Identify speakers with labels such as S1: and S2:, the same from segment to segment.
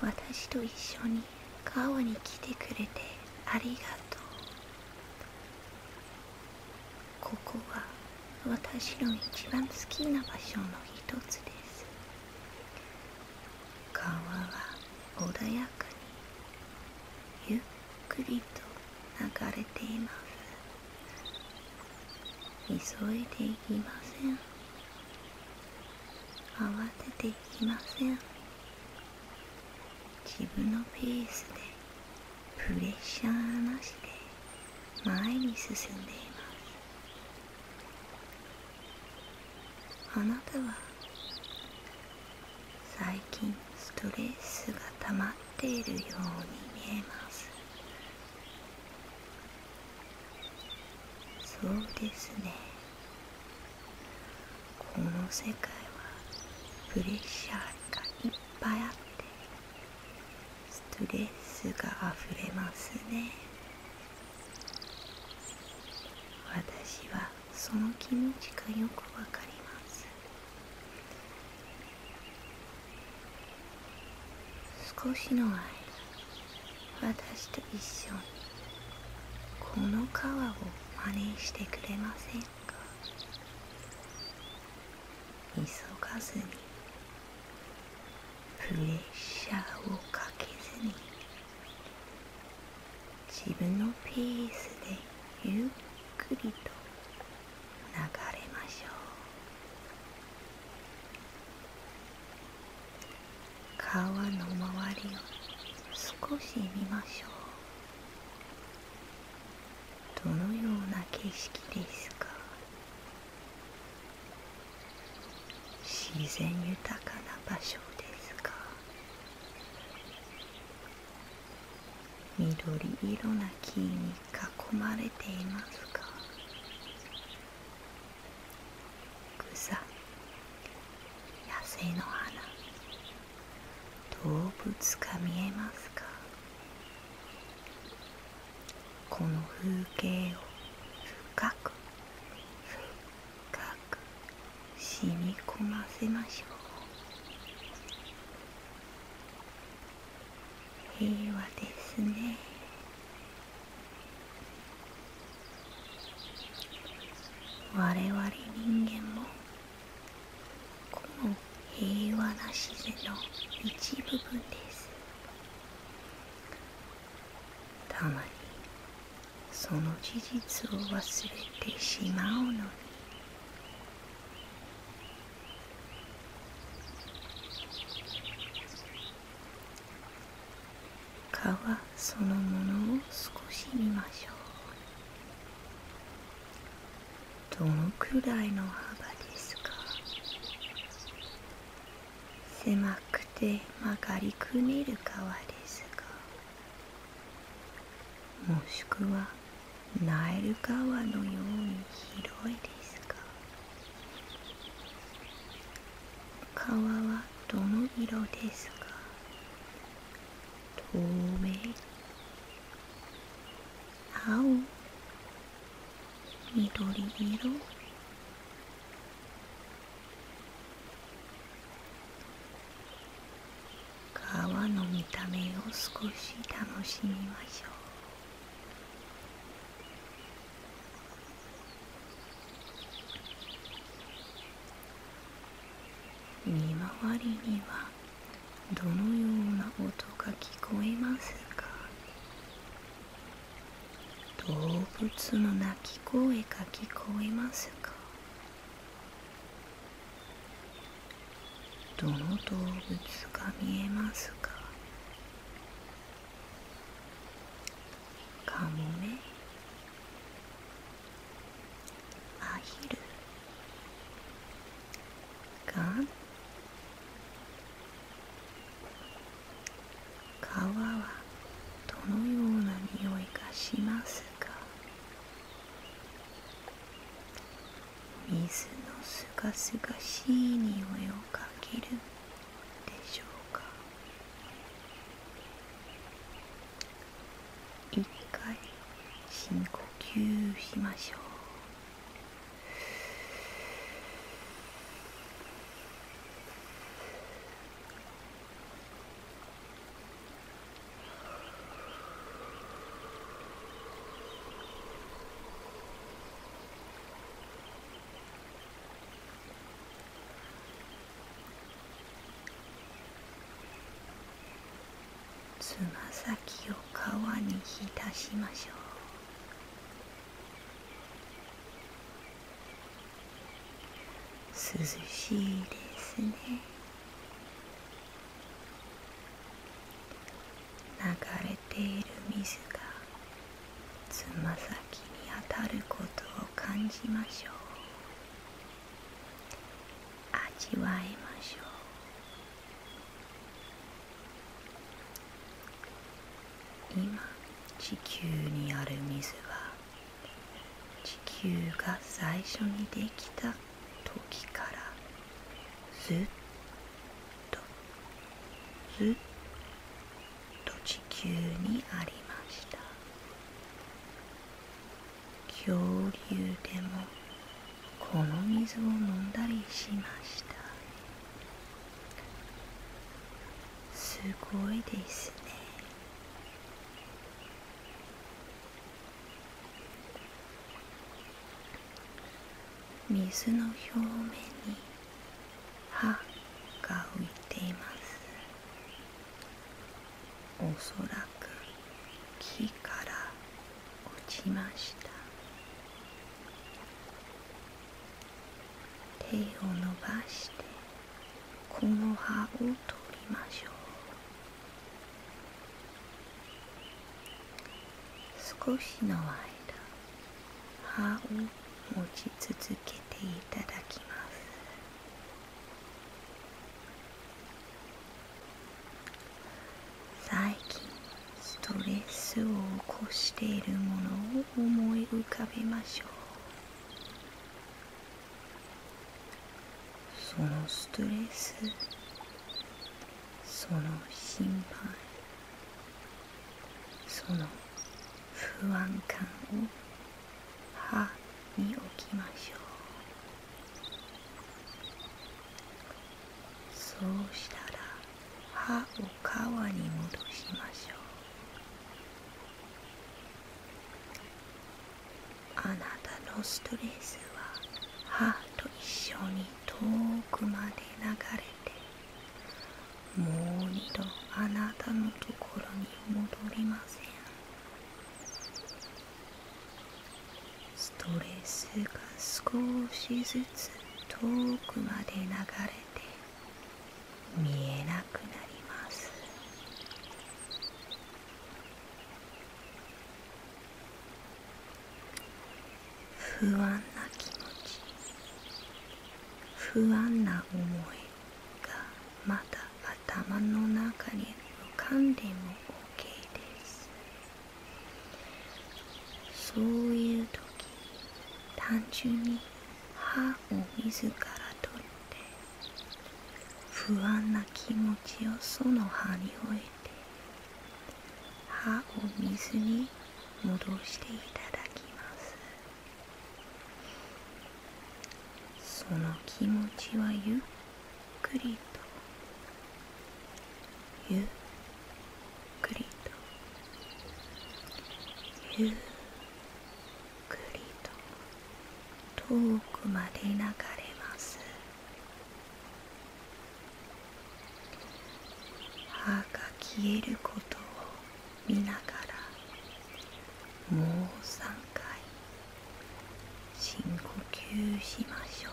S1: 私と一緒に川に来てくれてありがとうここは私の一番好きな場所の一つです川は穏やかにゆっくりと流れています急いでいきません慌てていきません自分のペースでプレッシャーなしで前に進んでいますあなたは最近ストレスが溜まっているように見えますそうですねこの世界はプレッシャーがいっぱいあってストレスがあふれますね私はその気持ちがよくわかります少しの間私と一緒にこの川を真似してくれませんか急がずにプレッシャーをかけずに自分のペースでゆっくりと流れましょう川の周りを少し見ましょうどのような景色ですか自然豊かな場所ですが緑色な木に囲まれていますが草野生の花動物が見えますかこの風景を深く深く染み込ませましょう平和ですね我々人間もこの平和な自然の一部分ですたまにその事実を忘れてしまうのに川そのものを少し見ましょうどのくらいの幅ですか狭くて曲がりくねる川ですがもしくはナるル川のように広いですが川はどの色ですか透明青緑色川の見た目を少し楽しみましょう見回りにはどのような音が聞こえますか動物の鳴き声か聞こえますかどの動物が見えますかカモメアヒルガン川はどのような匂いがしますか水のすがすがしい匂いをかけるでしょうか一回深呼吸しましょうつま先を皮に浸しましょう涼しいですね流れている水がつま先に当たることを感じましょう味わいましょう今地球にある水は地球が最初にできた時からずっとずっと地球にありました恐竜でもこの水を飲んだりしましたすごいですね水の表面に歯が浮いていますおそらく木から落ちました手を伸ばしてこの葉を取りましょう少しの間葉を持ち続けていただきます最近ストレスを起こしているものを思い浮かべましょうそのストレスその心配その不安感を歯に置きましょうそうしたら歯を皮に戻しましょうあなたのストレスは歯と一緒に遠くまで流れてもう二度あなたのところに戻りませんストレスが少しずつ遠くまで流れて見えなくなります不安な気持ち不安な思いがまだ頭の中に浮かんでも OK ですそういう時単純に歯を自ら取って不安な気持ちをその歯に置いて歯を水に戻していただきますその気持ちはゆっくりとゆっくりとゆっりと遠くまで流れます歯が消えることを見ながらもう3回深呼吸しましょう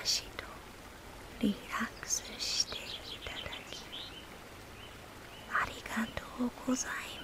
S1: 私とリラックスしていただきありがとうございます